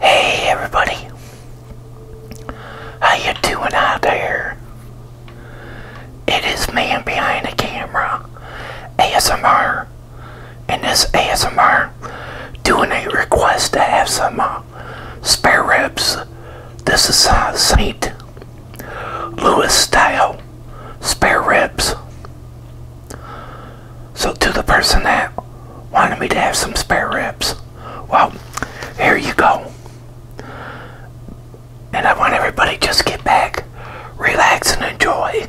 Hey everybody, how you doing out there? It is man behind the camera, ASMR, and this ASMR doing a request to have some uh, spare ribs. This is uh, Saint Louis style spare ribs. So to the person that wanted me to have some spare ribs, well, here you go. And I want everybody just get back, relax, and enjoy.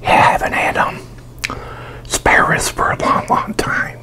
Yeah, I haven't had um, asparagus for a long, long time.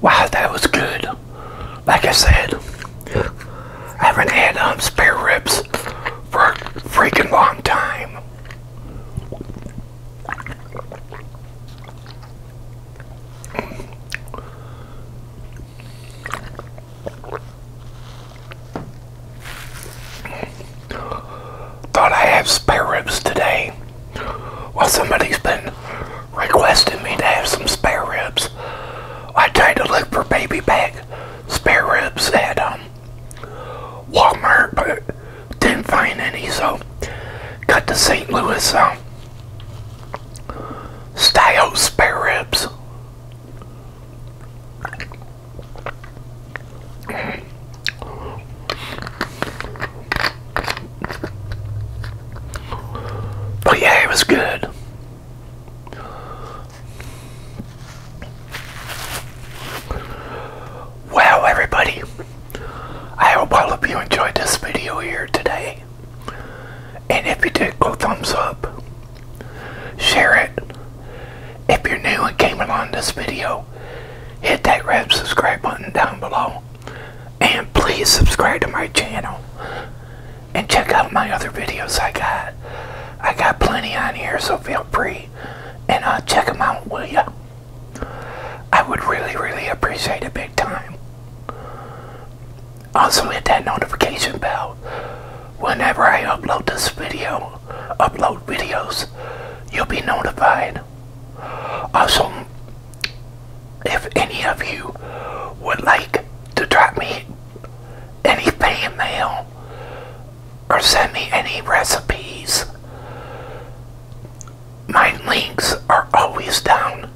Wow, that was good. Like I said, I haven't had um, spare ribs for a freaking long time. Thought I have spare ribs today. Well, somebody's been requesting me to have some spare ribs. I tried to look for baby back spare ribs at um, Walmart, but didn't find any, so got the St. Louis um, style spare ribs. But yeah, it was good. Wow, everybody, I hope all of you enjoyed this video here today. And if you did, go thumbs up, share it. If you're new and came along this video, hit that red subscribe button down below. And please subscribe to my channel. And check out my other videos I got. I got plenty on here, so feel free. And uh, check them out, will ya? I would really, really appreciate it big time. Also hit that notification bell whenever I upload this video, upload videos, you'll be notified. Also, if any of you would like to drop me any fan mail or send me any recipes, my links are always down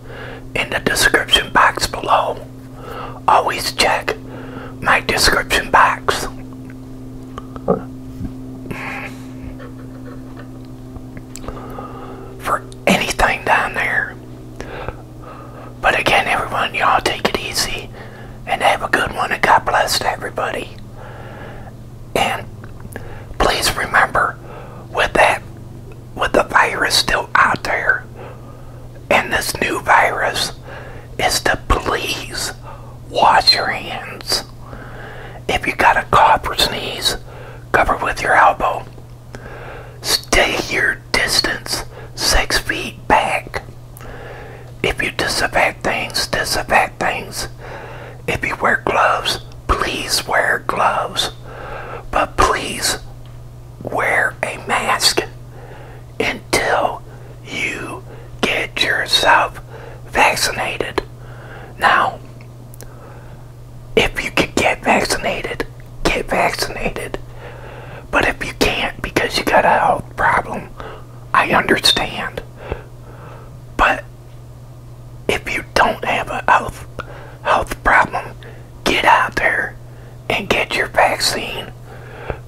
in the description box below. Always check my description box for anything down there. But again, everyone, y'all take it easy and have a good one. And God bless everybody. And please remember, with that, with the virus still out there, and this new virus, is to please wash your hands. If you got a cough or sneeze, cover with your elbow. Stay your distance six feet back. If you disinfect things, disinfect things. If you wear gloves, please wear gloves. But please wear a mask until you get yourself vaccinated. Now, if you can get vaccinated, get vaccinated. But if you can't because you got a health problem, I understand. But if you don't have a health, health problem, get out there and get your vaccine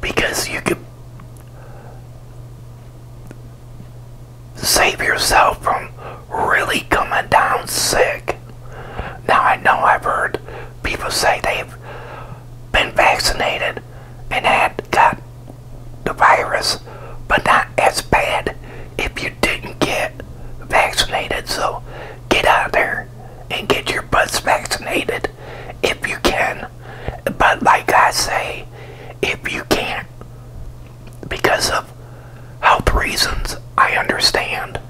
because you can save yourself from really coming down sick. Now, I know I've heard people say they've been vaccinated and had got the virus, but not as bad if you didn't get vaccinated. So get out there and get your butts vaccinated if you can. But like I say, if you can't, because of health reasons, I understand.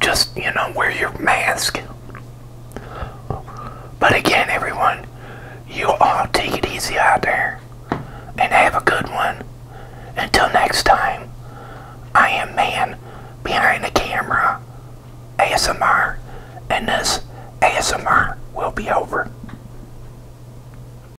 Just, you know, wear your mask. But again, everyone, you all take it easy out there and have a good one. Until next time, I am man behind the camera, ASMR, and this ASMR will be over.